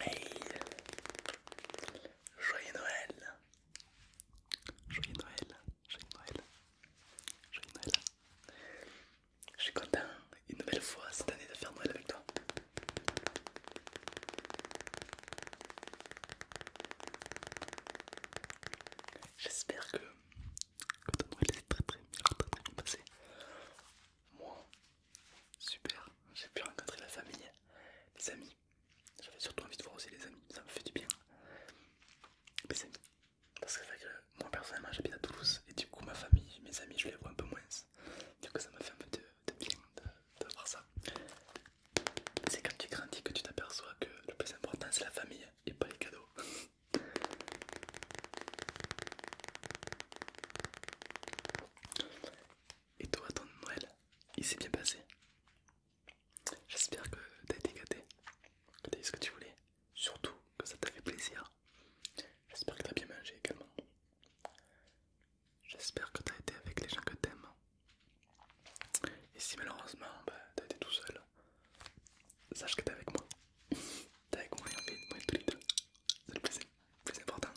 Hey Joyeux Noël Joyeux Noël Joyeux Noël Joyeux Noël Je suis content une nouvelle fois cette année de faire Noël avec toi. J'espère que, ton Noël s'est très très très très bien passé. Moi, Super, j'ai pu rencontrer la famille, les amis. J'avais surtout envie de voir aussi les amis, ça me fait du bien. parce que, moi personnellement j'habite à Toulouse et du coup ma famille, mes amis, je les vois un peu moins. Du coup ça me fait un peu de, bien de, voir ça. C'est quand tu grandis que tu t'aperçois que le plus important c'est la famille et pas les cadeaux. Et toi, ton Noël, il s'est bien passé J'espère que t'as été gâté, que t'as eu ce que tu voulais, surtout que ça t'a fait plaisir. J'espère que t'as bien mangé également. J'espère que t'as été avec les gens que t'aimes. Et si malheureusement bah, t'as été tout seul, sache que t'es avec moi. T'es avec moi et en fait moi et tous les deux. C'est le plaisir plus important.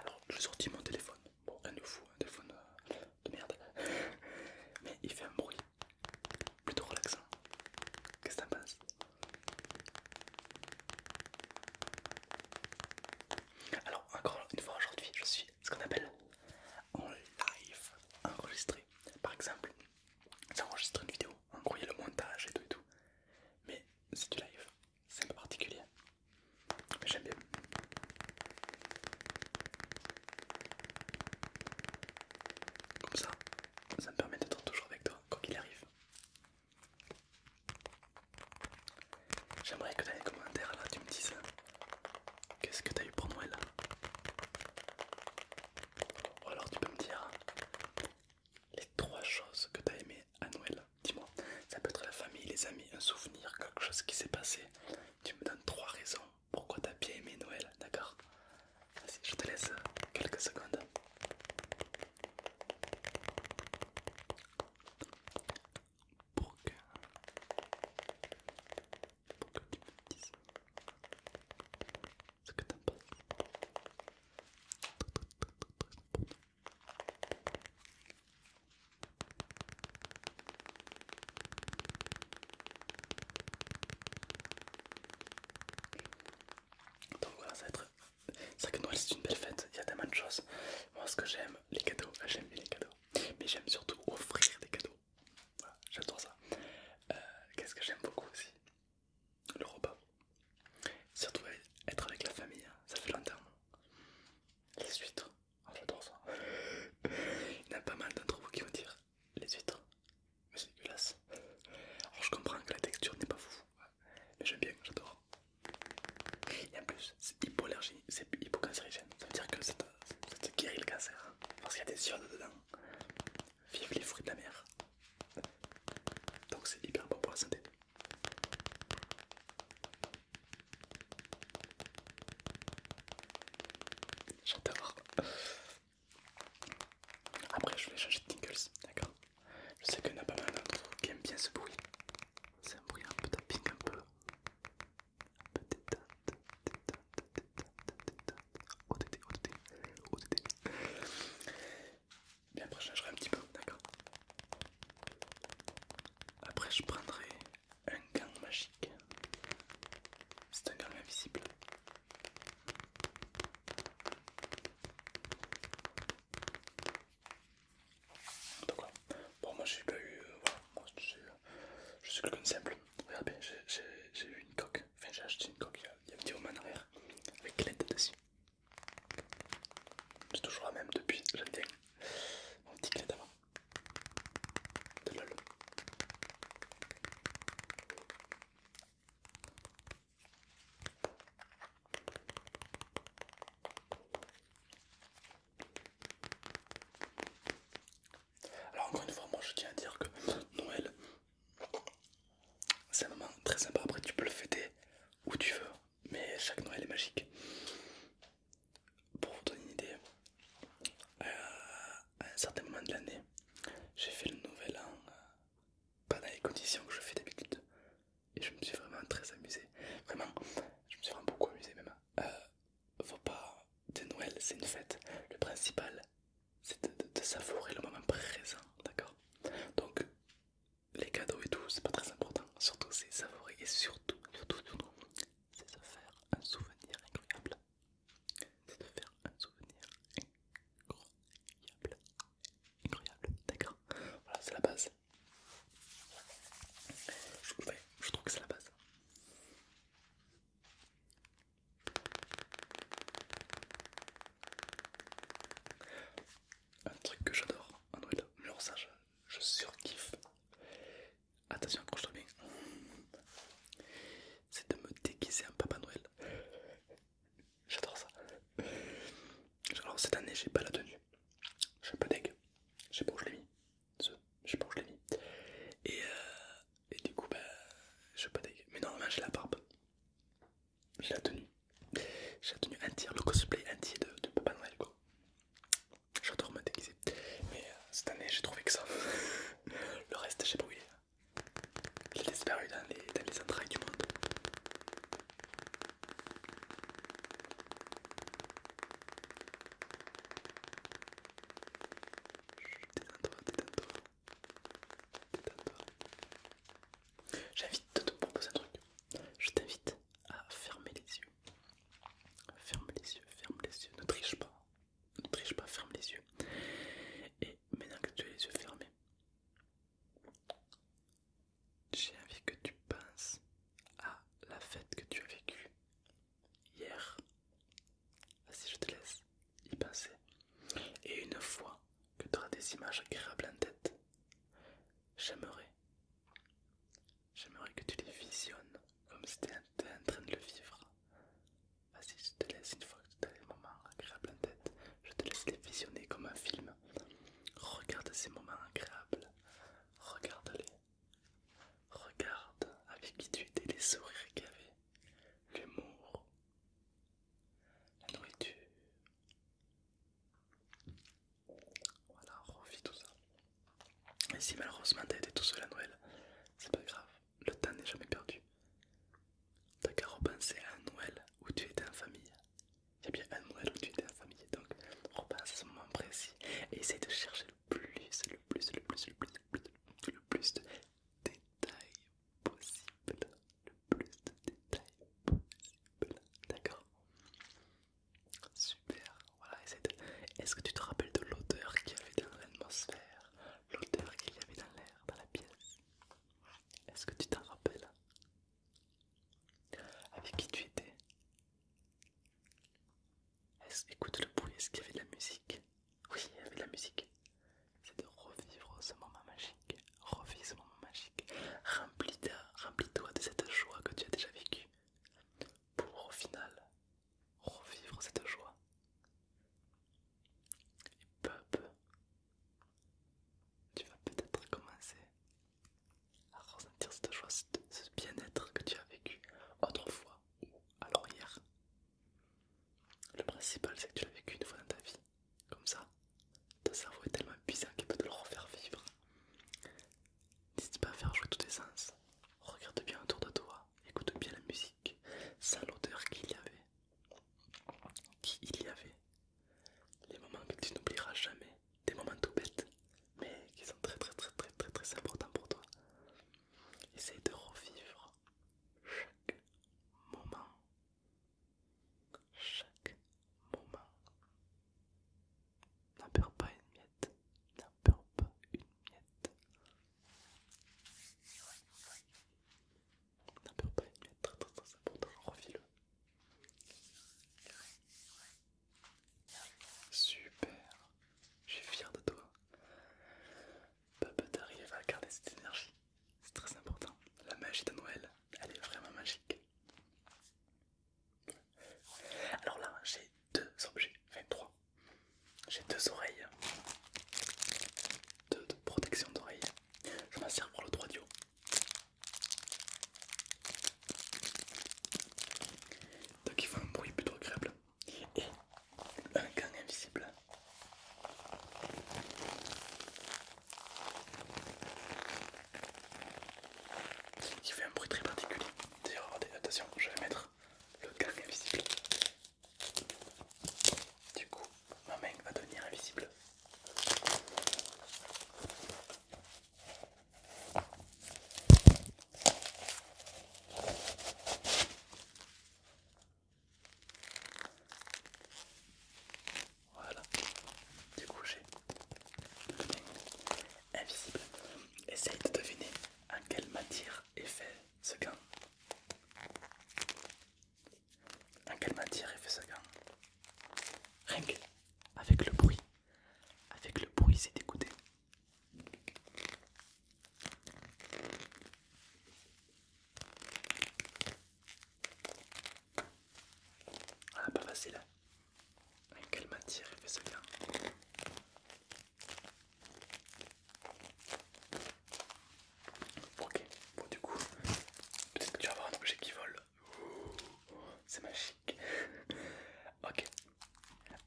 Alors, je sorti mon téléphone. Bon, rien de fou, un téléphone euh, de merde. Mais il fait un bruit plutôt relaxant. Qu'est-ce que t'en passe Alors, encore une fois aujourd'hui, je suis ce qu'on appelle en live enregistré. Par exemple, ça enregistre une vidéo, en gros il y a le montage et tout et tout. Mais c'est du live, c'est un peu particulier. Mais j'aime bien. Comme ça, ça me permet d'être toujours avec toi, quoi qu'il arrive. J'aimerais que dans les commentaires tu me dises qu'est-ce que tu as eu pour Noël. Ou alors tu peux me dire les trois choses que tu as aimé à Noël. Dis-moi, ça peut être la famille, les amis, un souvenir, quelque chose qui s'est passé. Tu me donnes trois raisons pourquoi tu as bien aimé Noël, d'accord Vas-y, je te laisse euh, quelques secondes pour que, tu me dises ce que Donc voilà, ça va être. C'est vrai que Noël c'est une belle fête, il y a tellement de choses. Moi ce que j'aime, les cadeaux, j'aime bien les cadeaux. Mais j'aime surtout offrir des cadeaux. j'adore ça. Euh, qu'est-ce que j'aime beaucoup aussi Le repas. Surtout être avec la famille, hein. ça fait longtemps. Les huîtres, oh, j'adore ça. Il y en a pas mal d'entre vous qui vont dire les huîtres, mais c'est dégueulasse. Alors je comprends que la texture n'est pas fou, mais j'aime bien, j'adore. Et en plus, c'est hypoallergie, c'est hypocancérigène. Ça veut dire que ça te guérit le cancer. Parce qu'il y a des iodes dedans. Vive les fruits de la mer. Donc c'est hyper bon pour la santé. J'adore. Après je vais changer de tingles, d'accord Je sais qu'il y en a pas mal d'autres qui aiment bien ce bruit. C'est un bruit un peu tapping, un peu. Un peu détente, détente, Mais après, je changerai un petit peu, d'accord Après, je prendrai un gant magique. C'est un gant invisible quoi Bon, moi j'ai pas eu. Euh, voilà, moi je suis quelqu'un de simple. bien j'ai eu une coque. Enfin, j'ai acheté une coque il y a un petit moment en arrière avec l'aide dessus. C'est toujours la même depuis, j'aime Mon petit avant. De lol. Alors encore une fois, moi je tiens à dire que Noël, c'est un moment très sympa. Après, tu peux le fêter où tu veux, mais chaque Noël est magique. Pour vous donner une idée, euh, à un certain moment de l'année, j'ai fait le Nouvel en euh, pas dans les conditions que je fais d'habitude et je me suis vraiment très amusé. Vraiment, je me suis vraiment beaucoup amusé même. Euh, faut pas. De Noël, c'est une fête. Le principal, c'est de, savourer le moment présent, d'accord Donc, les cadeaux et tout, c'est pas très important. Surtout, c'est savourer et surtout, surtout, surtout, c'est se faire un souvenir incroyable. C'est de faire un souvenir incroyable. Incroyable, d'accord Voilà, c'est la base. Je, trouve que c'est la base. Un truc que j'adore en Noël, mais je, surkiffe. Attention, je toi bien. C'est de me déguiser un Papa Noël. J'adore ça. Alors cette année j'ai pas la tenue. Je suis un peu deg. Je je l'ai mis je sais pas où je l'ai mis. Et, euh, du coup, bah, je pas. Mais normalement, j'ai la barbe. J'ai la tenue. J'ai la tenue entière, le cosplay entier de, de Papa Noël J'adore me déguiser. Mais euh, cette année, j'ai trouvé que ça. le reste, j'ai brûlé. J'ai l'ai disparu dans les, dans les entrailles du monde je t'invite détends J'invite de te proposer un truc. Je t'invite à fermer les yeux. Ferme les yeux, ferme les yeux. Ne triche pas. Ne triche pas, ferme les yeux. Et maintenant que tu as les yeux fermés, j'ai envie que tu penses à la fête que tu as vécue hier. Vas-y, je te laisse y penser. Et une fois que tu auras des images agréables en tête, j'aimerais, j'aimerais que tu les visionnes comme si tu étais en train de le vivre. Vas-y, je te laisse une fois que tu as des moments agréables en tête, je te laisse les visionner comme un film. Regarde ces moments agréables, Regarde-les. Regarde avec qui tu étais, les sourires qu'il y avait, l'humour, la nourriture. Voilà, revis tout ça. Et si malheureusement t'as été tout seul à Noël, c'est pas grave, le temps n'est jamais perdu. T'as qu'à repenser à un Noël où tu étais en famille, il y a bien un Noël où tu étais en famille, donc repasse à ce moment précis et essaye de chercher le plus, le plus, le plus, le plus, le plus, le plus de détails possible. Le plus de détails possible. D'accord Super. Voilà, essaye de... Est-ce que tu te rappelles de l'odeur qu'il y avait dans l'atmosphère L'odeur qu'il y avait dans l'air, dans la pièce Est-ce que tu t'en rappelles avec qui tu étais écoute le bruit, est-ce qu'il y avait de la musique Oui, il y avait de la musique. C'est de revivre ce moment magique. Revivre ce moment magique. Remplis-toi de cette joie que tu as déjà vécue. Pour au final revivre cette joie. Et peu peu, tu vas peut-être commencer à ressentir cette joie, ce bien-être que tu as vécu autrefois ou alors hier. Le principal, c'est que tu l'as vécu une fois dans ta vie. Comme ça, ton cerveau est tellement puissant qu'il peut te le refaire vivre. N'hésite pas à faire jouer tous tes sens. Regarde bien autour de toi, écoute bien la musique, sans l'odeur qu'il y avait. Qui il y avait. Les moments que tu n'oublieras jamais des moments tout bêtes, mais qui sont très très très très très très importants pour toi. Essaye de revivre chaque moment. Chaque moment. N'en pas une miette. N'en pas une miette. N'en pas une miette. Très très très important. Revis-le. Super, je suis fier de toi. Papa, t'arrives à garder cette énergie, c'est très important. La magie de Noël, elle est vraiment magique. Alors là, j'ai deux objets, enfin trois. J'ai deux oreilles, deux protections protection d'oreilles. Je m'en pour le droit donc il fait un bruit plutôt agréable. Et un gang invisible. Il fait un bruit très particulier. D'ailleurs, regardez, attention, je vais mettre le gang invisible. Du coup, ma main va devenir invisible. Voilà, du coup invisible. Essaye de deviner en quelle matière est fait ce gant. En quelle matière est fait ce gant que avec le bruit avec le bruit d'écouter. On Ah, pas facile. Hein. Avec quelle matière il fait ça bien Ok, bon du coup, peut-être que tu vas avoir un objet qui vole. C'est magique. ok,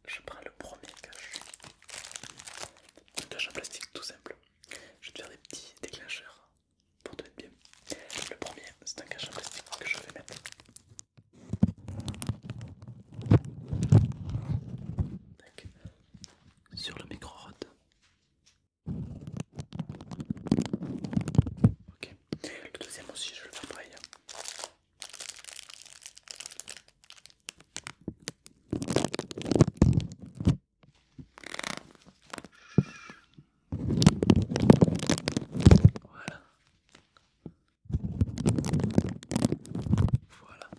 je prends le premier cache. Un cache en plastique tout simple. Je vais te faire des petits déclencheurs pour te mettre bien. Le premier, c'est un cache en plastique que je vais mettre. Sur le micro-rod. Ok. Le deuxième aussi, je vais le faire pareil. Hein. Voilà. Voilà.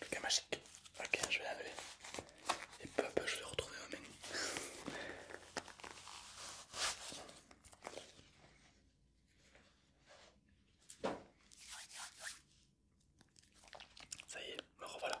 Le cas magique. Ok, je vais l'appeler. Et peu à peu, je vais retrouver au oh, menu. Ça y est, me revoilà.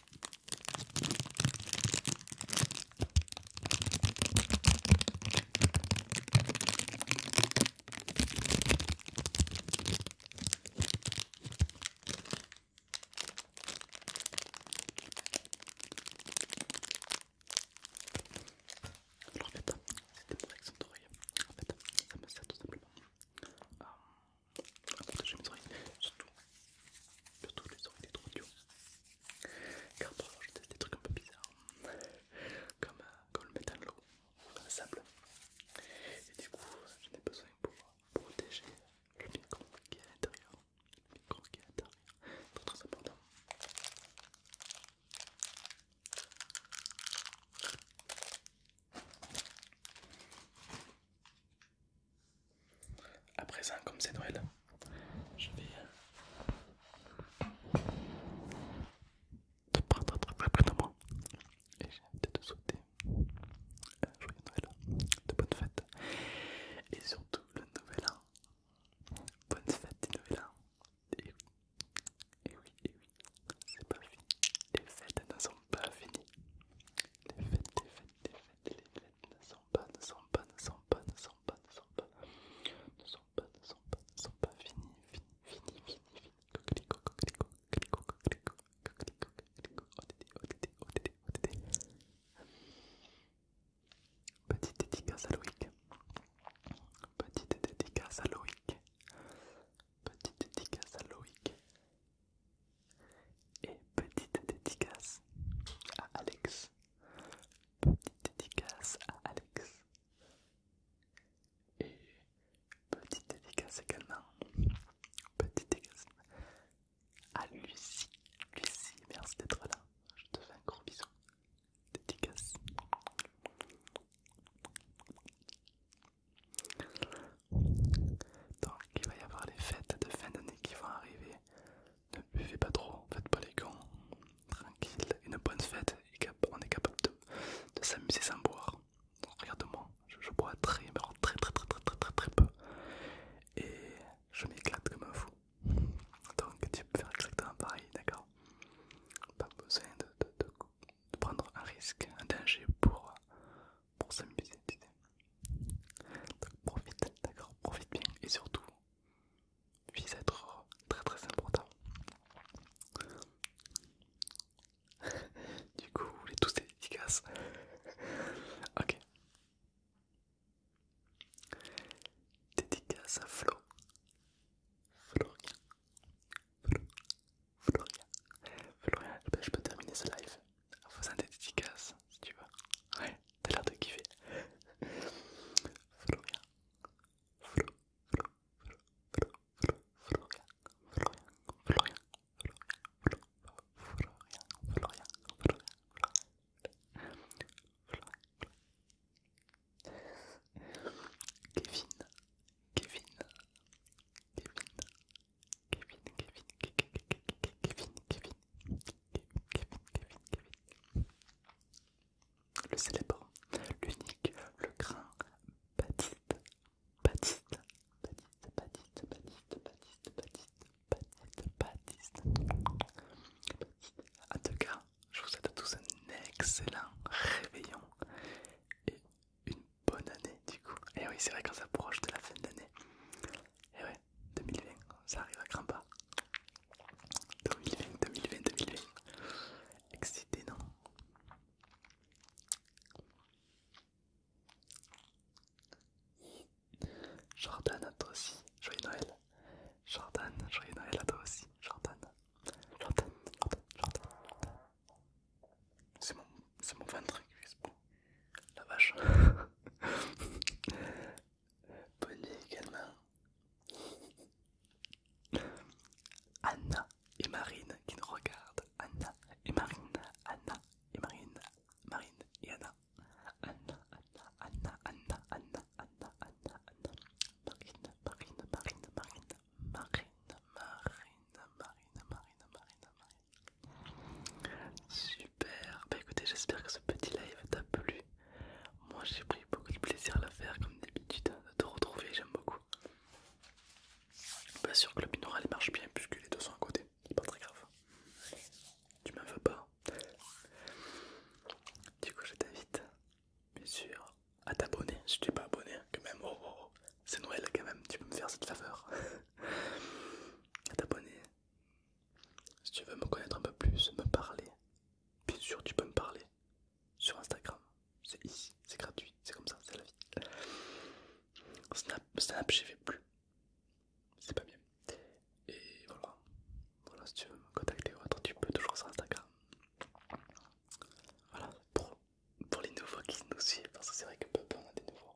en fait, hein, c'était pour d'oreilles, En fait, hein, ça me sert tout simplement euh, à protéger mes oreilles, surtout, surtout les oreilles des trop car parfois euh, je teste des trucs un peu bizarres, comme, euh, comme le métal l'eau ou le sable. Et du coup, j'en ai besoin pour protéger le micro qui est à l'intérieur. Le micro qui est à l'intérieur, c'est très important. A présent, comme c'est Noël, je vais te prendre un peu plus de moi et j'ai hâte de te souhaiter un joyeux Noël, de bonnes fêtes et surtout le nouvel an. Bonne fête du nouvel an. Et oui, et oui, et oui, c'est pas fini. Les fêtes ne sont pas finies. Les fêtes, les fêtes, les fêtes, les fêtes ne sont pas, ne pas, ne pas, pas, fini, oh, oh, oh, Petite dédicace à Loïc, petite dédicace à Loïc, petite dédicace à Loïc, et petite dédicace à Alex. Petite dédicace à Alex. Et petite dédicace également. Petite dédicace à Lucie. Lucie, merci d'être là. Je te fais un gros bisou. Dédicace. Donc il va y avoir les fêtes de fin d'année qui vont arriver. Ne buvez pas trop, faites pas les gants, Tranquille, une bonne fête, on est capable de, s'amuser sans boire. Regarde-moi, je, bois très, très, très, très, très, très, très, très peu. Et je m'éclate comme un fou. Donc tu peux faire exactement pareil, d'accord Pas besoin de, prendre un risque, un danger pour, pour s'amuser. Donc profite, d'accord, profite bien et surtout, vise à être très très important. du coup, les tous Dédicaces ok. Dédicace à Flo. Florian. Flo. Florian. Florian, eh ben, je peux terminer ce live en faisant des dédicaces si tu veux. Ouais, t'as l'air de kiffer. Kevin, Kevin, Kevin, Kevin, Kevin, Kevin. Kevin, Kevin, Kevin, Kevin, Le célèbre, l'unique, le grand Baptiste, Baptiste, Baptiste, Baptiste, Baptiste, Baptiste, Baptiste, Baptiste, Baptiste. En tout cas, je vous souhaite à tous un excellent réveillon et une bonne année du coup. Et oui, c'est vrai qu'on s'approche de la fin d'année. Et 2020, ça arrive à grand pas. 2020, 2020, 2020. Excité, non Jordan à toi aussi, joyeux Noël. Jordan, joyeux Noël à toi aussi, Jordan. Jordan, Jordan, Jordan. C'est mon, ventre qui fait ce la vache. Bonnie également. Anna et Marine qui nous regardent. Anna et Marine. Anna et Marine. Marine et Anna. Anna, Anna, Anna, Anna, Anna, Anna, Anna, Anna. Marine, Marine. Marine, Marine, Marine, Marine, Marine, Marine. Super, bah écoutez, j'espère que ce petit live t'a plu. Moi j'ai pris beaucoup de plaisir à la faire, comme d'habitude, hein, de te retrouver, j'aime beaucoup. Bien bah, sûr que le binaural marche bien puisque les deux sont à côté, c'est pas très grave. Tu m'en veux pas. Du coup, je t'invite, bien sûr, à t'abonner si tu n'es pas abonné, quand même. Oh, oh, oh, c'est Noël quand même, tu peux me faire cette faveur. à t'abonner si tu veux me connaître un peu plus, me parler, bien sûr tu peux me parler sur Instagram. C'est ici, c'est gratuit, c'est comme ça, c'est la vie. Snap, je j'y vais plus. C'est pas bien. Et voilà. Voilà, si tu veux me contacter ou autre, tu peux toujours sur Instagram. Voilà, pour, pour les nouveaux qui nous suivent, parce que c'est vrai que peu, peu on a des nouveaux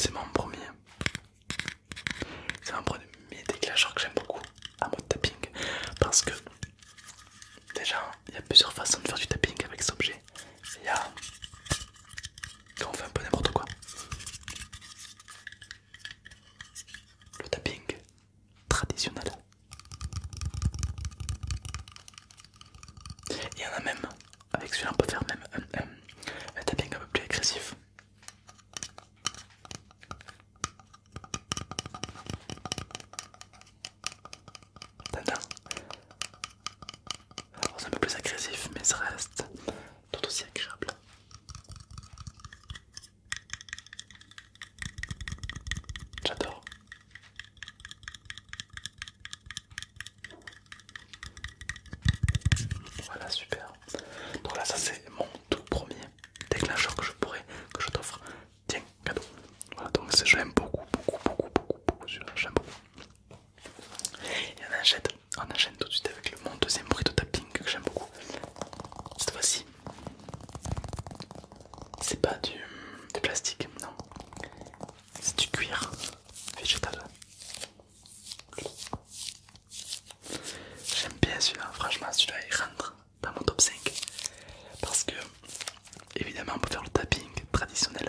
C'est mon premier. C'est un premier déclencheur que j'aime beaucoup à mode tapping parce que déjà il y a plusieurs façons de faire du tapping avec cet objet. Il y a quand on fait un peu n'importe quoi. Le tapping traditionnel. Il y en a même, avec celui-là on peut faire même un, un tapping un peu plus agressif c'est un peu plus agressif mais ça reste tout aussi agréable. J'adore. Voilà super. Donc là ça c'est mon tout premier déclencheur que je pourrais que je t'offre Tiens, cadeau. Voilà, donc j'aime l'aime beaucoup, beaucoup, beaucoup, beaucoup, beaucoup celui-là, j'aime beaucoup. Et on enchaîne, on enchaîne tout de suite avec le, mon deuxième bruit de tapping que j'aime beaucoup. Cette fois-ci, c'est pas du, du plastique, non. C'est du cuir végétal. J'aime bien celui-là, franchement celui-là il rentre dans mon top 5 parce que évidemment on faire le tapping traditionnel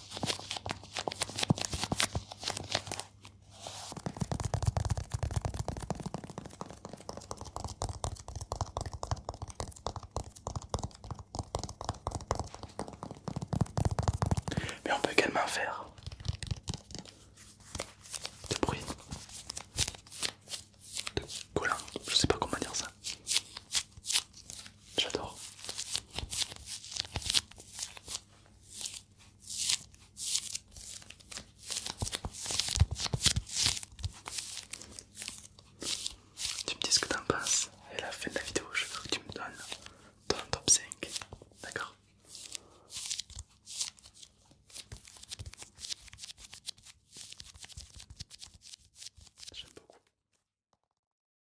Mais on peut également faire De bruit. de collant, je sais pas comment dire ça. J'adore. Tu me dis ce que t'en penses et à la fin de la vidéo je veux que tu me donnes ton top 5. D'accord J'aime beaucoup.